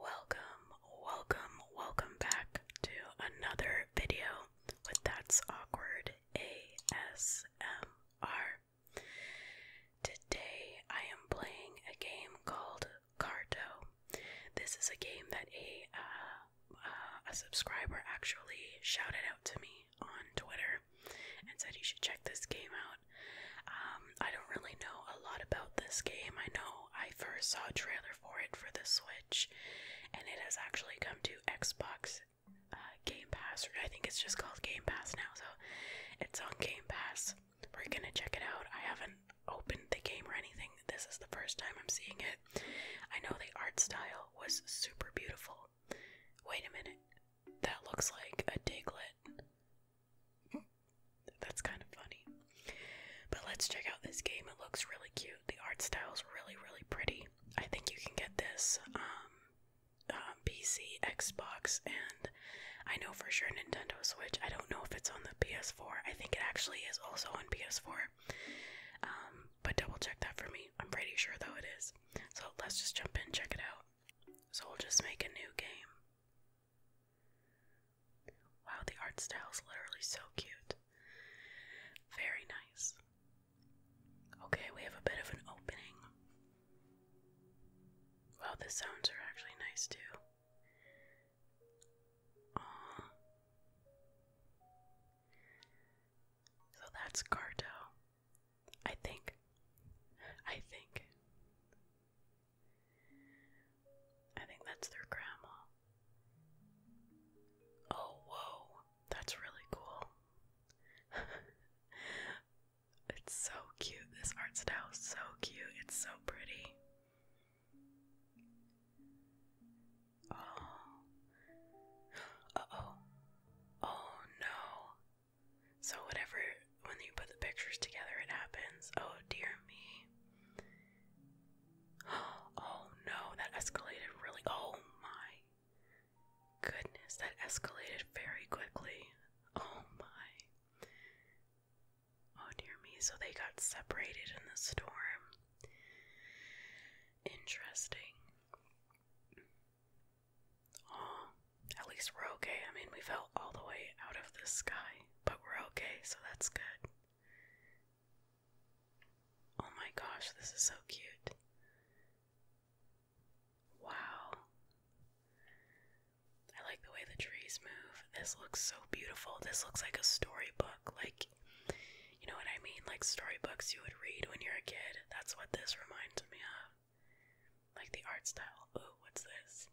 Welcome, welcome, welcome back to another video with That's Awkward ASMR. Today I am playing a game called Carto. This is a game that a uh, uh, a subscriber actually shouted out to me on Twitter and said you should check this game out. Um, I don't really know a lot about this game. I know I first saw a trailer for it for the Switch, and it has actually come to Xbox uh, Game Pass. Or I think it's just called Game Pass now, so it's on Game Pass. We're gonna check it out. I haven't opened the game or anything. This is the first time I'm seeing it. I know the art style was super beautiful. Wait a minute. That looks like a diglet. That's kind of funny. But let's check out this game. It looks really cute. The art style is really, really pretty. I think you can get this um, um PC, Xbox, and I know for sure Nintendo Switch. I don't know if it's on the PS4. I think it actually is also on PS4. Um, but double check that for me. I'm pretty sure though it is. So let's just jump in and check it out. So we'll just make a new game. Wow, the art style is literally so cute. Very nice. Okay, we have a bit of an opening. Wow, the sounds are actually nice too. Aww. So that's Carto. I think. I think. I think that's their grandma. Oh, whoa. That's really cool. it's so cute. This art style is so cute. It's so pretty. Oh. oh. Oh no. So, whatever, when you put the pictures together, it happens. Oh dear me. Oh no, that escalated really. Oh my goodness, that escalated very quickly. Oh my. Oh dear me, so they got separated in the storm. Interesting. Oh, at least we're okay. I mean, we fell all the way out of the sky, but we're okay, so that's good. Oh my gosh, this is so cute. Wow. I like the way the trees move. This looks so beautiful. This looks like a storybook. Like you know what I mean? Like storybooks you would read when you're a kid. That's what this reminds me of. Like the art style. Oh, what's this?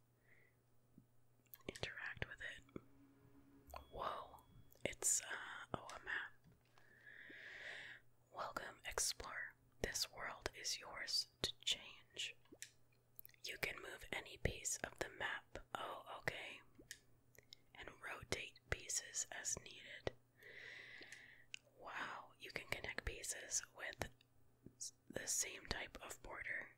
Interact with it. Whoa. It's, uh, oh, a map. Welcome, explorer. This world is yours to change. You can move any piece of the map. Oh, okay. And rotate pieces as needed. Wow, you can connect pieces with the same type of border.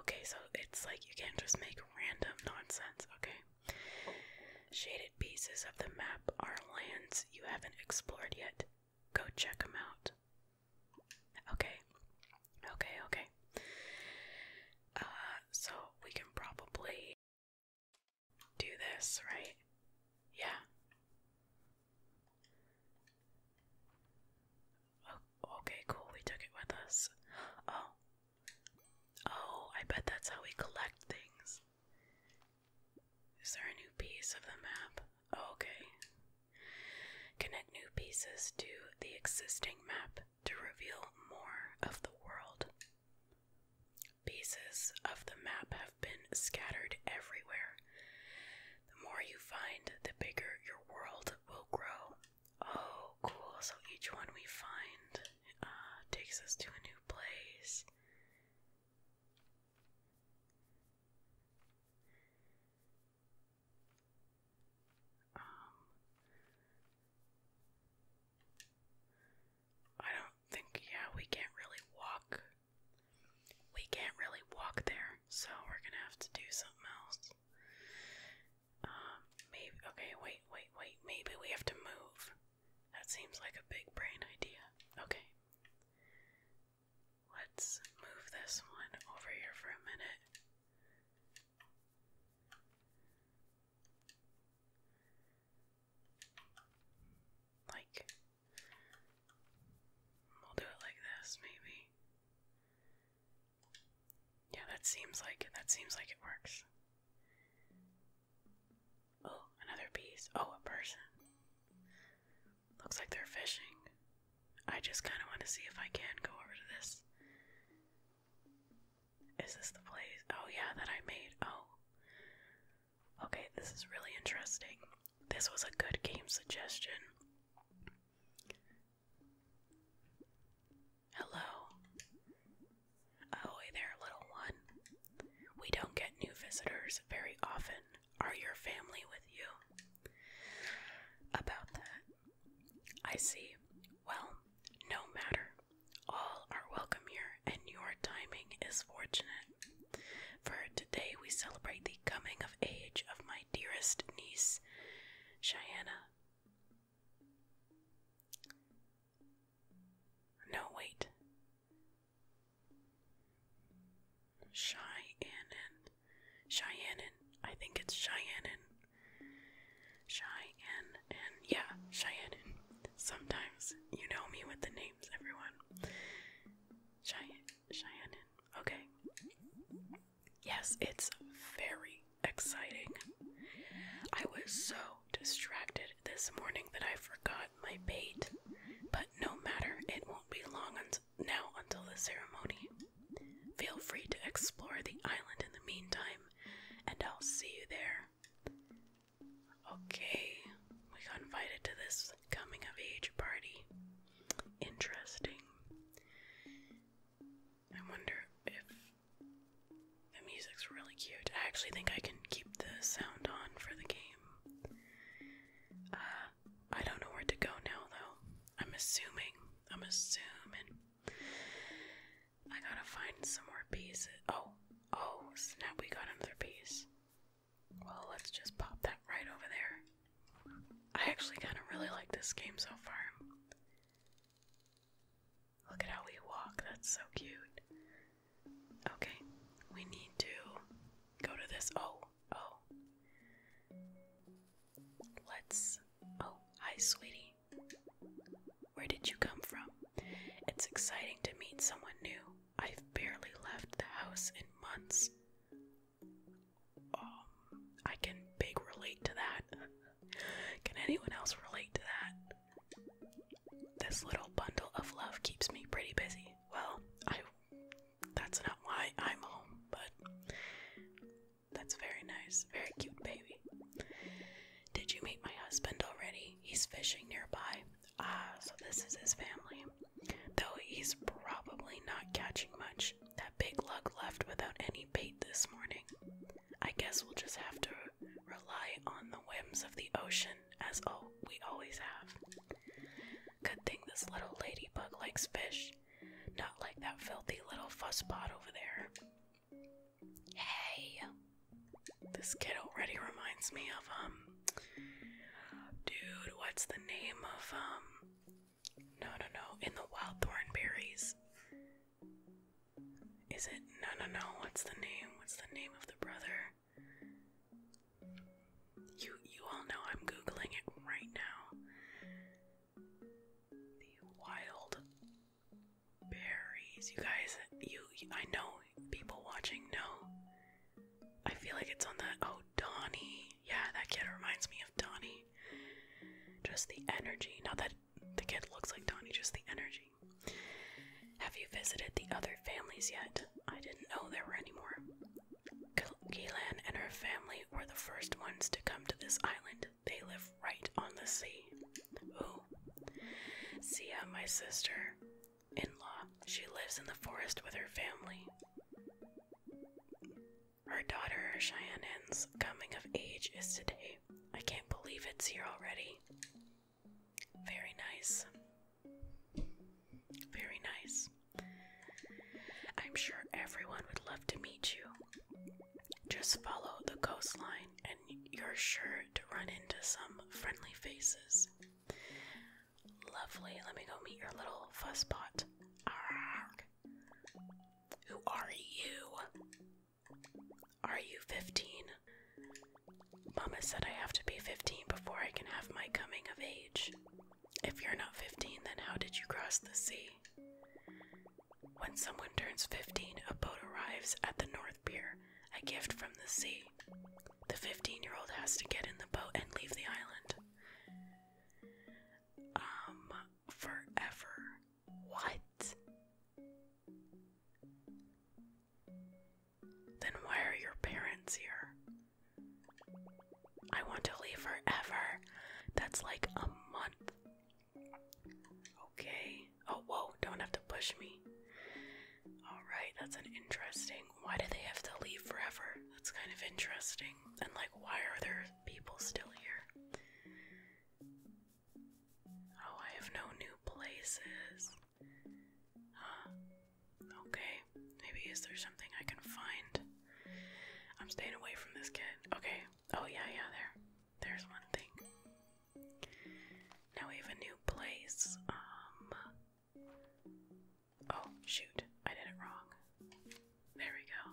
Okay, so it's like you can't just make random nonsense, okay? Shaded pieces of the map are lands you haven't explored yet. Go check them out. Okay, okay, okay. Uh, so we can probably do this, right? Yeah. Oh, okay, cool. We took it with us. Oh. Oh, I bet that's how we collect things. Is there a new piece of the map? Oh, okay. Connect new pieces to the existing map to reveal more of the world. Pieces of the map have been scattered everywhere. The more you find, the bigger your world will grow. Oh, cool. So each one we find uh, takes us to a new place. Um, I don't think, yeah, we can't really walk. We can't really walk there, so we're gonna have to do something else. Um, maybe, okay, wait, wait, wait, maybe we have to move. That seems like a big brain idea. Okay. Let's move this one over here for a minute. Like, we'll do it like this, maybe. Yeah, that seems like it. That seems like it works. Oh, another piece. Oh, a person. Looks like they're fishing. I just kind of want to see if I can go over to this. Is this the place? Oh, yeah, that I made. Oh. Okay, this is really interesting. This was a good game suggestion. Hello. Oh, hey there, little one. We don't get new visitors very often. Are your family with you? About that. I see. Well, no matter, all are welcome here, and your timing is fortunate. For today we celebrate the coming of age of my dearest niece, Cheyenne. No, wait. Cheyenne. Cheyenne. I think it's Cheyenne. Cheyenne. Yeah, Cheyenne. Sometimes you know me with the names, everyone. Cheyenne, Cheyenne. Okay. Yes, it's very exciting. I was so distracted this morning that I forgot my bait, but no matter, it won't be long un now until the ceremony. Feel free to explore the island in the meantime, and I'll see you there. Okay, we got invited to this coming of age party. Interesting. I wonder if the music's really cute. I actually think I can keep the sound on for the game. Uh, I don't know where to go now, though. I'm assuming. I'm assuming I gotta find some more pieces. Oh, oh, snap, we got another piece. Well, let's just pop that right over there. I actually kind of really like this game so far. Look at how we walk, that's so cute. Okay, we need to go to this. Oh, oh. Let's. Oh, hi, sweetie. Where did you come from? It's exciting to meet someone new. I've barely left the house in months. Um, I can big relate to that. Can anyone else relate to that? This little bundle of love keeps me pretty busy. Well, I that's not why I'm home, but that's very nice. Very cute baby. Did you meet my husband already? He's fishing nearby. Uh, so this is his family. Though he's probably not catching much. That big lug left without any bait this morning. I guess we'll just have to rely on the whims of the ocean as oh we always have. Good thing this little ladybug likes fish. Not like that filthy little fusspot over there. Hey. This kid already reminds me of um dude, what's the name of um no no no in the wild thorn berries. Is it no no no what's the name? What's the name of the brother? You you all know I'm googling it right now. The wild berries. You guys, you, I know people watching know. I feel like it's on the, oh, Donny. Yeah, that kid reminds me of Donny. Just the energy. Not that the kid looks like Donny, just the energy. Have you visited the other families yet? I didn't know there were any more. Gilan and her family were the first ones to come to this island. They live right on the sea. Ooh. Sia, my sister, in law. She lives in the forest with her family. Her daughter, Cheyenne coming of age is today. I can't believe it's here already. Very nice. Very nice. I'm sure everyone would love to meet you. Just follow the coastline and you're sure to run into some friendly faces. Lovely, let me go meet your little fusspot. Who are you? Are you 15? Mama said I have to be 15 before I can have my coming of age. If you're not 15, then how did you cross the sea? When someone turns 15, a boat arrives at the North Pier, a gift from the sea. The 15 year old has to get in the boat and leave the island. Um, forever. What? Then why are your parents here? I want to leave forever. That's like a month. Okay. Oh, whoa, don't have to push me. Alright, that's an interesting. Why do they have to leave forever? That's kind of interesting. And, like, why are there people still here? Oh, I have no new places. Huh. Okay. Maybe is there something I can find? I'm staying away from this kid. Okay. Oh, yeah, yeah, there. There's one thing. Now we have a new place. Um, oh, shoot. I did it wrong. There we go.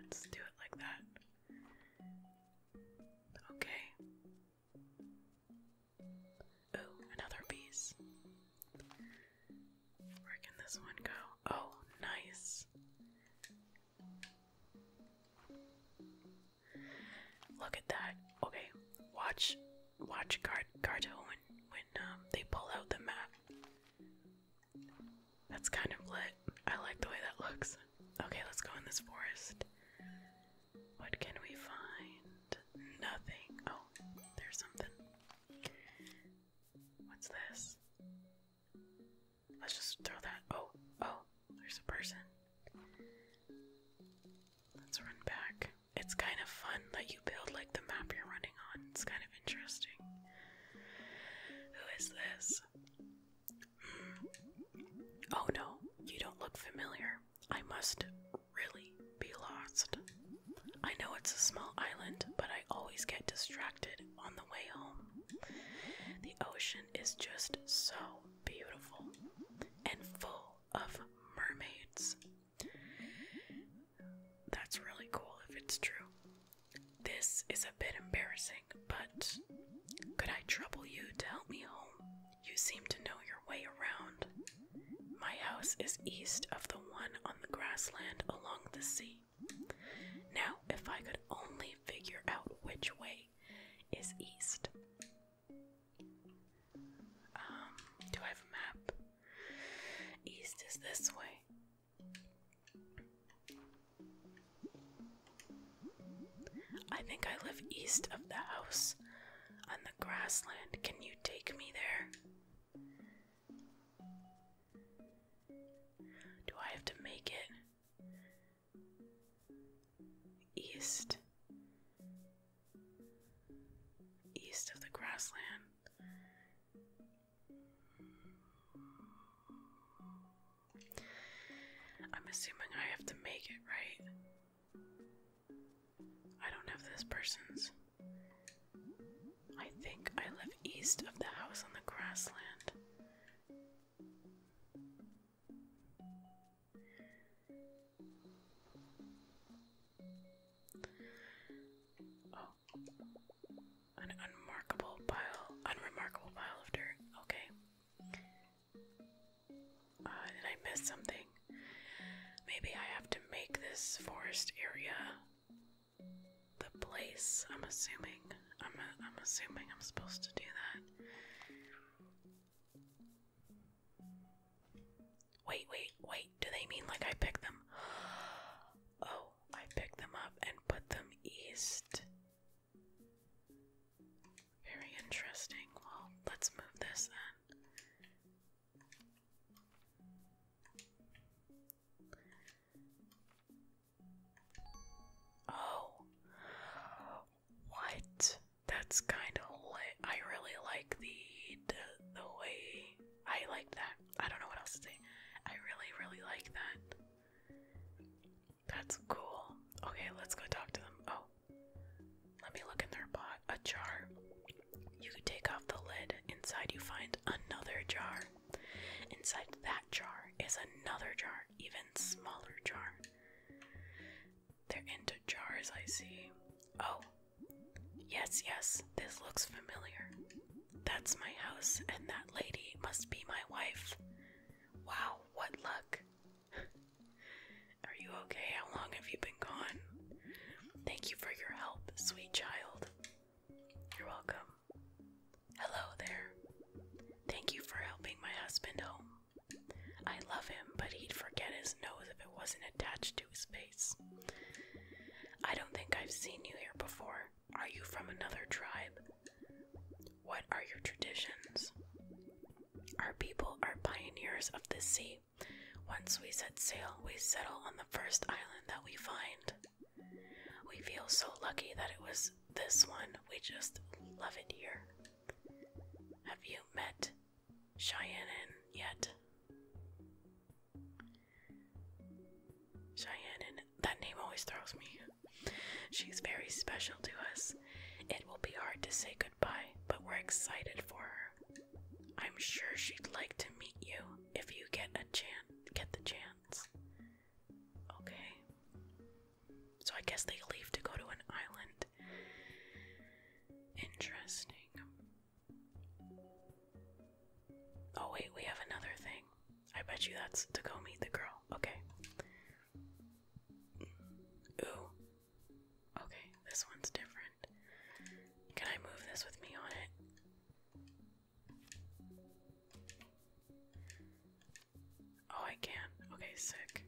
Let's do it like that. Okay. Oh, another piece. Where can this one go? Oh, nice. Look at that. Okay, watch, watch Gar Garto when when um, they pull out the map. That's kind of lit. I like the way that looks. Okay, let's go in this forest. What can we find? Nothing. Oh, there's something. What's this? Let's just throw that. Oh, oh, there's a person. Let's run back. It's kind of fun that you build like the map you're running on. It's kind of interesting. Who is this? Hmm. Oh no, you don't look familiar. I must really be lost. I know it's a small island, but I always get distracted on the way home. The ocean is just so beautiful and full of mermaids. That's really cool if it's true. This is a bit embarrassing, but could I trouble you to help me home? You seem to know your way around. My house is east of the one on the grassland along the sea. Now, if I could only figure out which way is east. Um, do I have a map? East is this way. I think I live east of the house on the grassland. Can you take me there? Do I have to make it east? East of the grassland. I'm assuming I have to make it, right? I don't have this person's. I think I live east of the house on the grassland. Oh. An unmarkable pile, unremarkable pile of dirt. Okay. Uh, did I miss something? Maybe I have to make this forest area the place. I'm assuming. I'm a, I'm assuming I'm supposed to do that. Wait, wait, wait. Do they mean like I pick them? Oh, I pick them up and put them east. Very interesting. Well, let's move this then. Oh. What? That's kind of like I really like the, the way I like that. I don't know what else to say. I really really like that. That's cool. Okay, let's go talk to them. Oh. Let me look in their pot. A jar. You could take off the lid. Inside you find another jar. Inside that jar is another jar, even smaller jar. They're into jars, I see. Oh, yes, yes, this looks familiar. That's my house, and that lady must be my wife. Wow, what luck! Are you okay? How long have you been gone? Thank you for your help, sweet child. You're welcome. Hello there. Thank you for helping my husband home. I love him, but he'd forget his nose if it wasn't attached to his face. I don't think I've seen you here before. Are you from another tribe? What are your traditions? Our people are pioneers of the sea. Once we set sail, we settle on the first island that we find. We feel so lucky that it was this one. We just love it here. Have you met Cheyenne yet? Cheyenne, that name always throws me. She's very special to us. It will be hard to say goodbye, but we're excited for her. I'm sure she'd like to meet you if you get a chance. Get the chance. Okay. So I guess they leave to go to an island. Interesting. Oh, wait, we have another thing. I bet you that's to go meet the girl. Okay. Ooh. Okay, this one's different. Can I move this with me on it? Oh, I can. Okay, sick.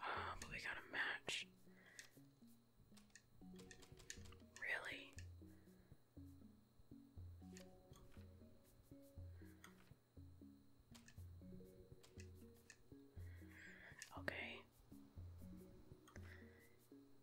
Uh, but we got a match. Really? Okay.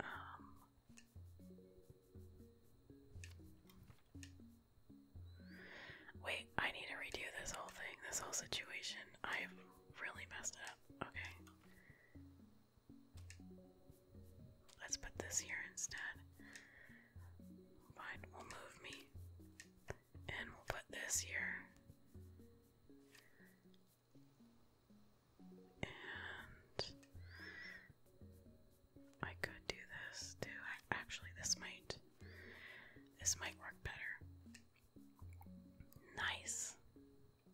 Um, wait, I need to redo this whole thing, this whole situation. I've really messed it up. Okay. Let's put this here instead. Fine, we'll move me. And we'll put this here. And I could do this too. actually, this might this might work better. Nice.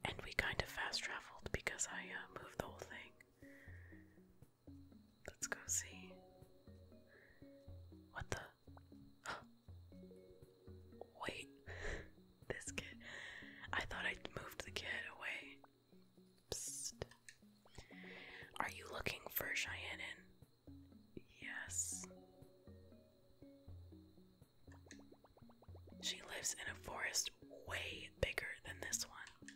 And we kind of fast traveled because I uh, moved the whole thing. Let's go see. What the? Wait. this kid. I thought I moved the kid away. Are you looking for Cheyenne? Yes. She lives in a forest way bigger than this one.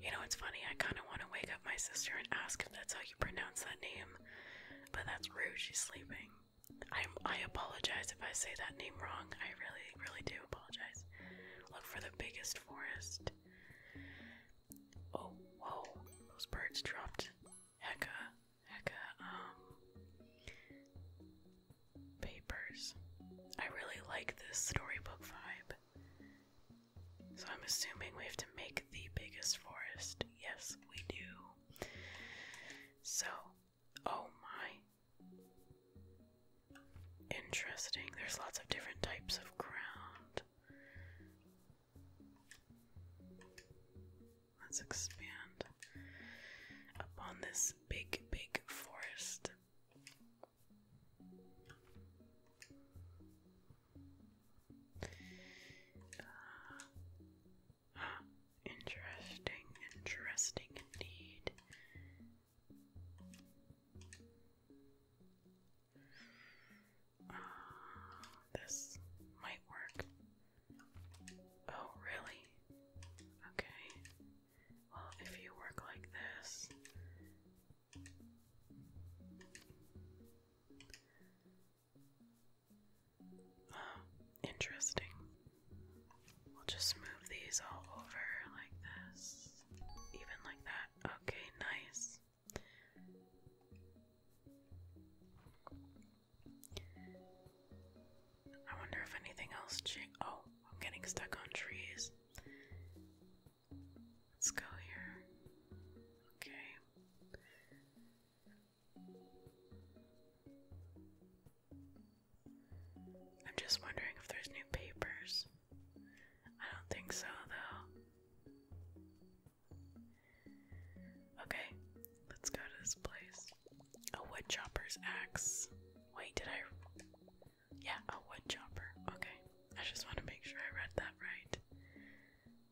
You know, it's funny, I kind of want to wake up my sister and ask if that's how you pronounce that name, but that's rude, she's sleeping. I, I apologize if I say that name wrong. I really, really do apologize. Look for the biggest forest. Oh, whoa. Those birds dropped hecka, hecka, um, papers. I really like this storybook vibe. So I'm assuming we have to make the biggest forest. Yes, we do. So, oh my Interesting. There's lots of different types of ground. Let's expand up on this big, big forest. Ah, interesting, interesting indeed. Uh, this might work. Oh, really? Okay. Well, if you work like this. Uh, interesting. We'll just move these all over like this, even like that. Okay, nice. I wonder if anything else Oh, I'm getting stuck on trees. Let's go here. Okay. I'm just wondering if there's new papers. I don't think so, though. Okay, let's go to this place. A wood chopper's axe. Wait, did I? Yeah, a wood chopper. Okay, I just want to make sure I read that right.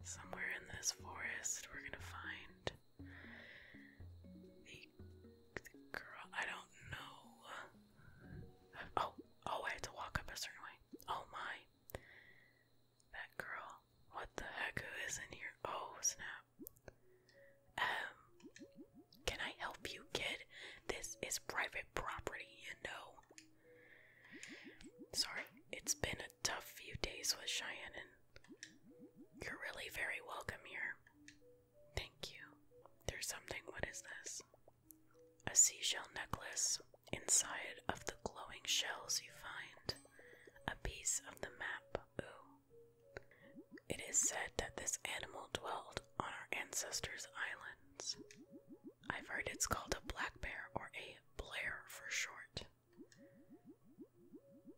Somewhere in this forest, we're gonna find the, girl. I don't know. Oh, oh, I had to walk up a certain way. Oh my. That girl. What the heck? Who is in here? Oh, snap. Um, can I help you, kid? This is private property, you know. Sorry, it's been a tough few days with Cheyenne, and you're really very welcome here. Thank you. There's something. What is this? A seashell necklace. Inside of the glowing shells, you find a piece of the map. Ooh. It is said that this animal dwelled on our ancestors' islands. I've heard it's called a black bear or a Blair for short.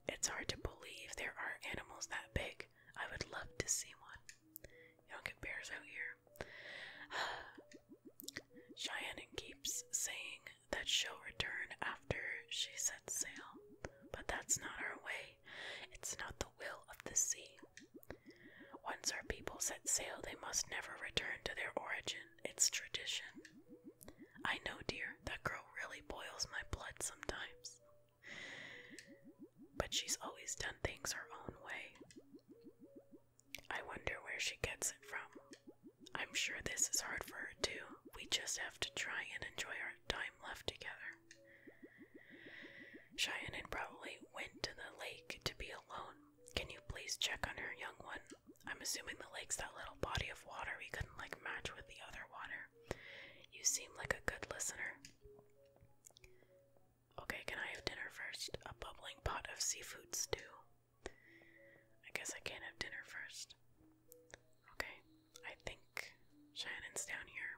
It's hard to believe there are animals that big. I would love to see one. You don't get bears out here. Cheyenne keeps saying that she'll return after she sets sail, but that's not our way. It's not the will of the sea. Once our people set sail, they must never return to their origin. It's tradition. I know, dear, that girl really boils my blood sometimes. But she's always done things her own way. I wonder where she gets it from. I'm sure this is hard for her too. We just have to try and enjoy our time left together. Cheyenne probably went to the lake to be alone. Can you please check on her, young one? I'm assuming the lake's that little body of water we couldn't like match with the other water. You seem like a good listener. Okay, can I have dinner first? A bubbling pot of seafood stew. I guess I can't have dinner first. Okay, I think Shannon's down here.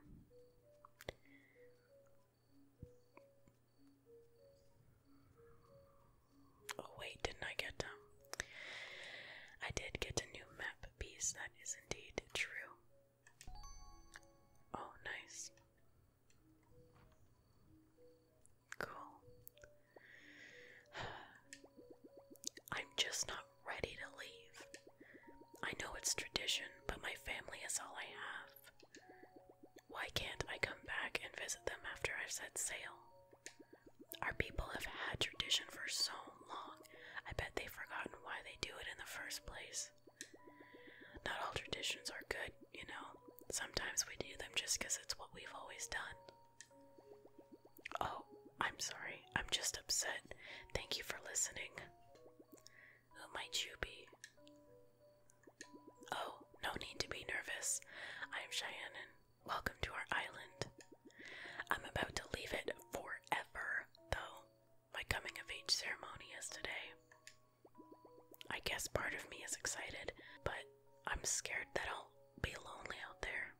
Oh, wait, didn't I get, um, I did get a new map piece, that is indeed true. Oh, nice. Cool. I'm just not ready to leave. I know it's tradition, but my family is all I have. Why can't I come back and visit them after I've set sail? Our people have had tradition for so long, I bet they've forgotten why they do it in the first place. Not all traditions are good, you know. Sometimes we do them just because it's what we've always done. Oh, I'm sorry. I'm just upset. Thank you for listening. Who might you be? Oh, no need to be nervous. I'm Cheyenne. Welcome to our island. I'm about to leave it forever, though. My coming of age ceremony is today. I guess part of me is excited, but I'm scared that I'll be lonely out there.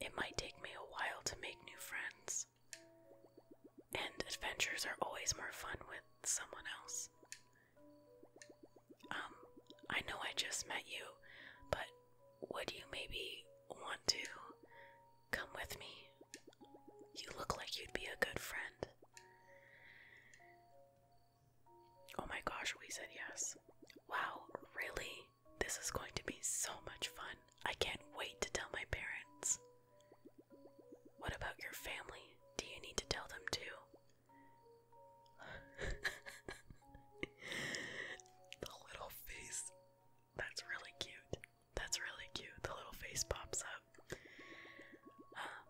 It might take me a while to make new friends. And adventures are always more fun with someone else. Um, I know I just met you, but would you maybe want to Come with me. You look like you'd be a good friend. Oh my gosh, we said yes. Wow, really? This is going to be so much fun. I can't wait to tell my parents. What about your family? Do you need to tell them too? the little face. That's really cute. That's really cute. The little face pops up. Uh,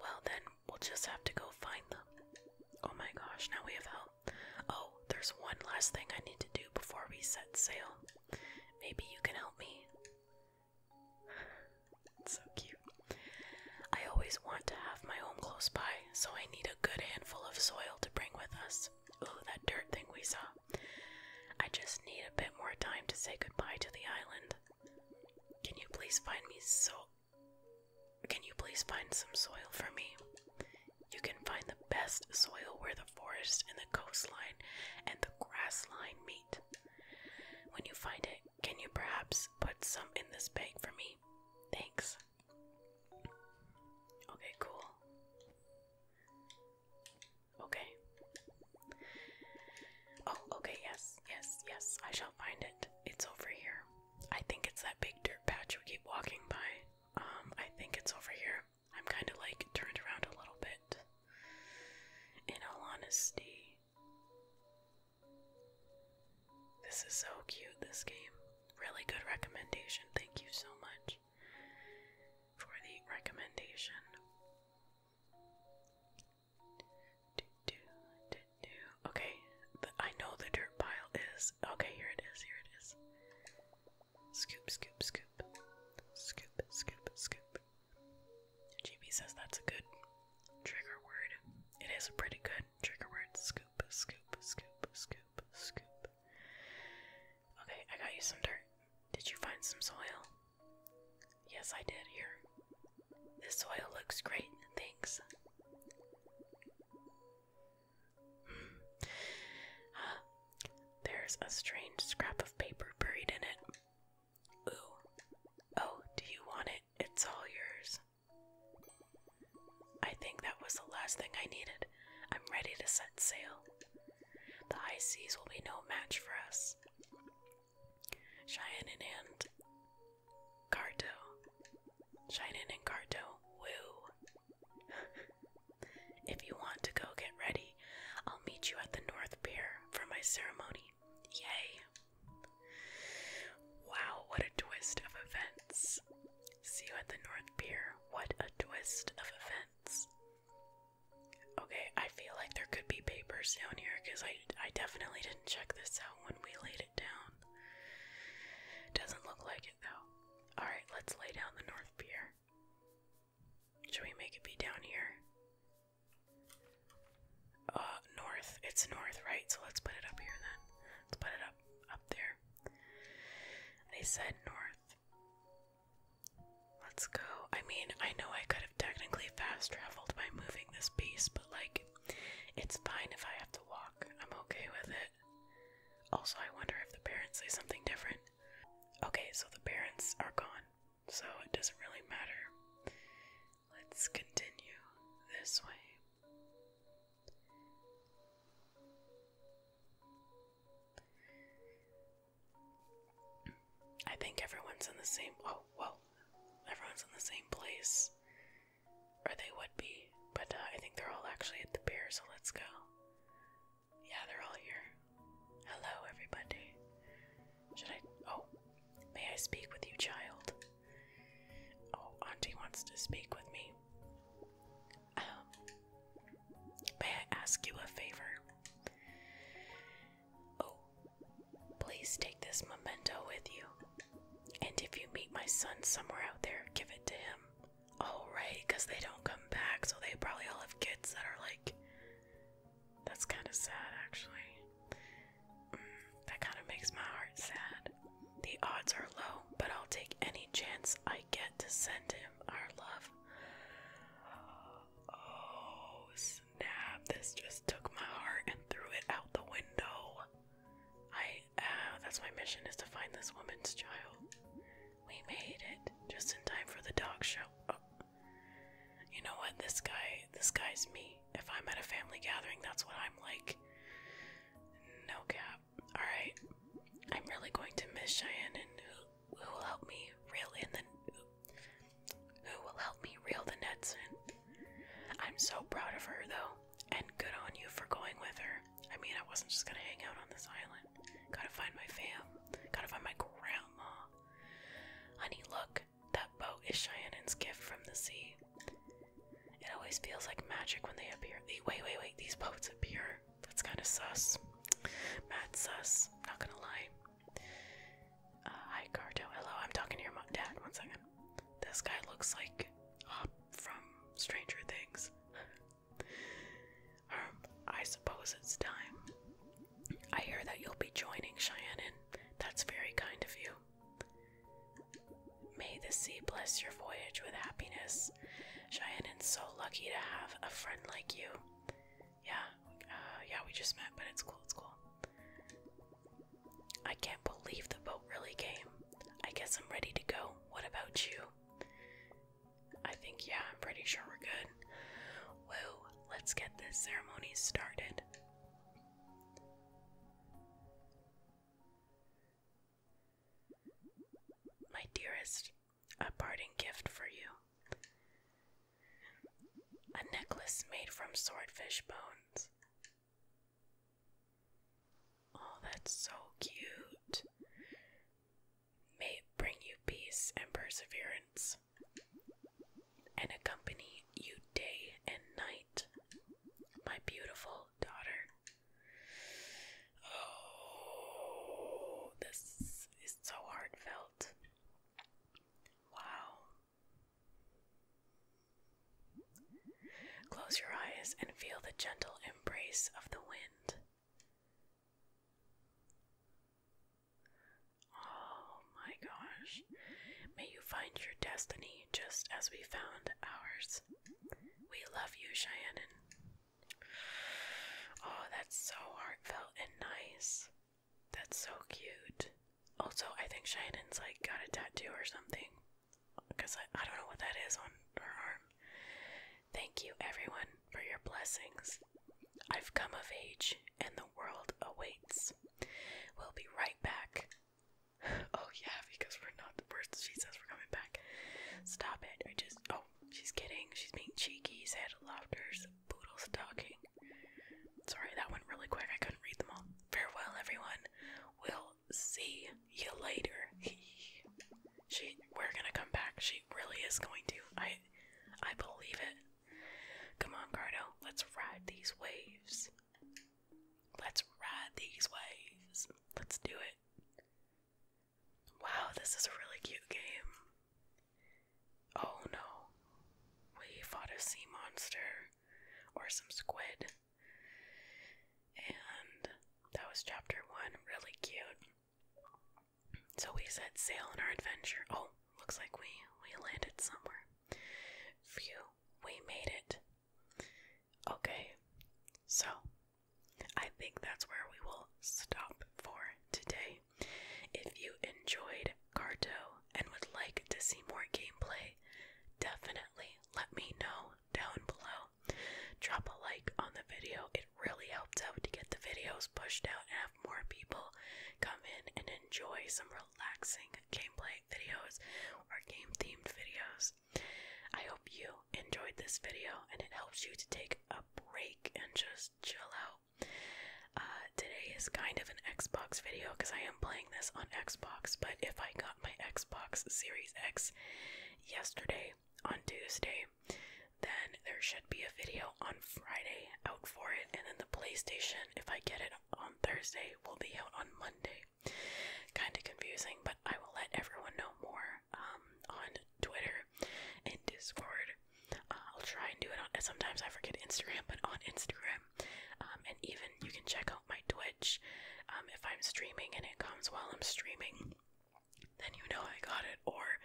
well, then we'll just have to go find them. Oh my gosh, now we have help. Oh, there's one last thing I need to do before we set sail. Maybe you can help me. it's so cute. I always want to have my home close by, so I need a good handful of soil to bring with us. Oh, that dirt thing we saw. I just need a bit more time to say goodbye to the island. Can you please find me so. Can you please find some soil for me? You can find the best soil where the forest and the coastline and the grass line meet. When you find it, can you perhaps put some in this bag for me? Thanks. Okay, cool. Okay. Oh, okay, yes, yes, yes, I shall find it. It's over here. I think it's that big dirt patch we keep walking by. Um, I think it's over here. I'm kind of like turned around a little bit. In all honesty, this is so cute, this game. Really good recommendation. Thank you so much for the recommendation. Do, do, do, do. Okay, the, I know the dirt pile is. Okay, here it is, here it is. Scoop, scoop, scoop. Scoop, scoop, scoop. GB says that's a good trigger word. It is a pretty good trigger word. Scoop, scoop, scoop, scoop, scoop. Okay, I got you some dirt. Did you find some soil? Yes, I did here. This soil looks great, thanks. Hmm. there's a strange scrap of paper buried in it. Ooh. Oh, do you want it? It's all yours. I think that was the last thing I needed. I'm ready to set sail. The high seas will be no match for us. Cheyenne and Cardo. Cheyenne and Cardo. Woo. if you want to go get ready, I'll meet you at the North Pier for my ceremony. Yay. Wow, what a twist of events. See you at the North Pier. What a twist of events. Okay, I feel like there could be papers down here because I, I definitely didn't check this out when we laid it down. Doesn't look like it though. Alright, let's lay down the North Pier. Should we make it be down here? Uh, north. It's north, right? So let's put it up here then. Let's put it up, up there. They said north. Let's go. I mean, I know I could have technically fast traveled by moving this piece, but like, it's fine if I have to walk. I'm okay with it. Also, I wonder if the parents say something different. Okay, so the parents are gone, so it doesn't really matter. Let's continue this way. I think everyone's in the same. Oh, well, everyone's in the same place. Or they would be, but uh, I think they're all actually at the pier, so let's go. Yeah, they're all here. Hello, everybody. Should I. Oh, may I speak with you, child? Oh, Auntie wants to speak with me. Um, may I ask you a favor? Oh, please take this memento with you. And if you meet my son somewhere out there, give it to him. Oh, because they don't come back, so they probably all have kids that are like. That's kind of sad, actually. Mm, that kind of makes my heart sad. The odds are low, but I'll take any chance I get to send him our love. Oh snap, this just took my heart and threw it out the window. I, uh, that's my mission is to find this woman's child. We made it just in time for the dog show. Oh. You know what? This guy, this guy's me. If I'm at a family gathering, that's what I'm like. No cap. Alright. I'm really going to miss Cheyenne and who will help me reel in the who will help me reel the nets in. I'm so proud of her though, and good on you for going with her. I mean, I wasn't just gonna hang out on this island. Gotta find my fam. Gotta find my grandma. Honey, look, that boat is Cheyenne's gift from the sea. It always feels like magic when they appear. The, wait, wait, wait, these boats appear. That's kind of sus. Mad sus, not gonna lie. Uh, hi, Cardo. Hello, I'm talking to your Dad, one second. This guy looks like from Stranger Things. um, I suppose it's time. I hear that you'll be joining Cheyenne. That's very kind of you. May the sea bless your voyage with happiness. Cheyenne is so lucky to have a friend like you. Yeah, uh, yeah, we just met, but it's cool, it's cool. I can't believe the boat really came. I guess I'm ready to go. What about you? I think, yeah, I'm pretty sure we're good. Whoa, let's get this ceremony started. My dearest, a parting gift for you. A necklace made from swordfish bones. Oh, that's so cute. May bring you peace and perseverance and accompany you day and night, my beautiful daughter. Oh, this is so heartfelt. Wow. Close your eyes and feel the gentle embrace of the wind. Oh my gosh. May you find your destiny just as we found ours. We love you, Cheyenne. Oh, that's so heartfelt and nice. That's so cute. Also, I think Shaiden's like got a tattoo or something. Because I, I don't know what that is on her arm. Thank you, everyone, for your blessings. I've come of age and the world awaits. We'll be right back. oh, yeah, because we're not the worst. She says we're coming back. Stop it. I just. Oh, she's kidding. She's being cheeky. Said laughters poodles talking. Sorry, that went really quick. I couldn't read them all. Farewell, everyone. We'll see you later. she, we're gonna come back. She really is going to. I, I believe it. Come on, Cardo. Let's ride these waves. Let's ride these waves. Let's do it. Wow, this is a really cute game. Oh no, we fought a sea monster or some squid. And that was chapter one, really cute. So we set sail on our adventure. Oh, looks like we we landed somewhere. Phew, we made it. Okay, so I think that's where we will stop for today. If you enjoyed Carto and would like to see more gameplay, definitely let me know down below. Drop a like on the video, it really helps out to get the videos pushed out and have more people come in and enjoy some relaxing gameplay videos or game themed videos. I hope you enjoyed this video and it helps you to take a break and just chill out uh, today is kind of an Xbox video because I am playing this on Xbox, but if I got my Xbox Series X yesterday on Tuesday, then there should be a video on Friday out for it, and then the PlayStation, if I get it on Thursday, will be out on Monday. Kind of confusing, but I will let everyone know more um, on Twitter and Discord I'll try and do it on. Sometimes I forget Instagram, but on Instagram, um, and even you can check out my Twitch. Um, if I'm streaming and it comes while I'm streaming, then you know I got it. Or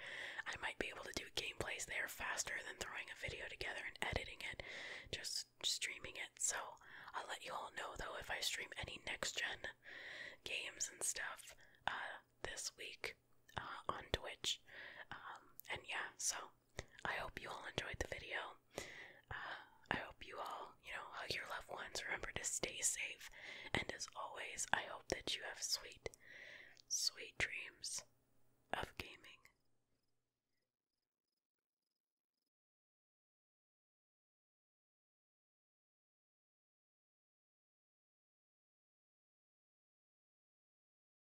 I might be able to do gameplays there faster than throwing a video together and editing it, just streaming it. So I'll let you all know though if I stream any next gen games and stuff uh, this week uh, on Twitch. Um, and yeah, so I hope you all enjoyed the video. Uh, I hope you all, you know, hug your loved ones. Remember to stay safe. And as always, I hope that you have sweet, sweet dreams of gaming.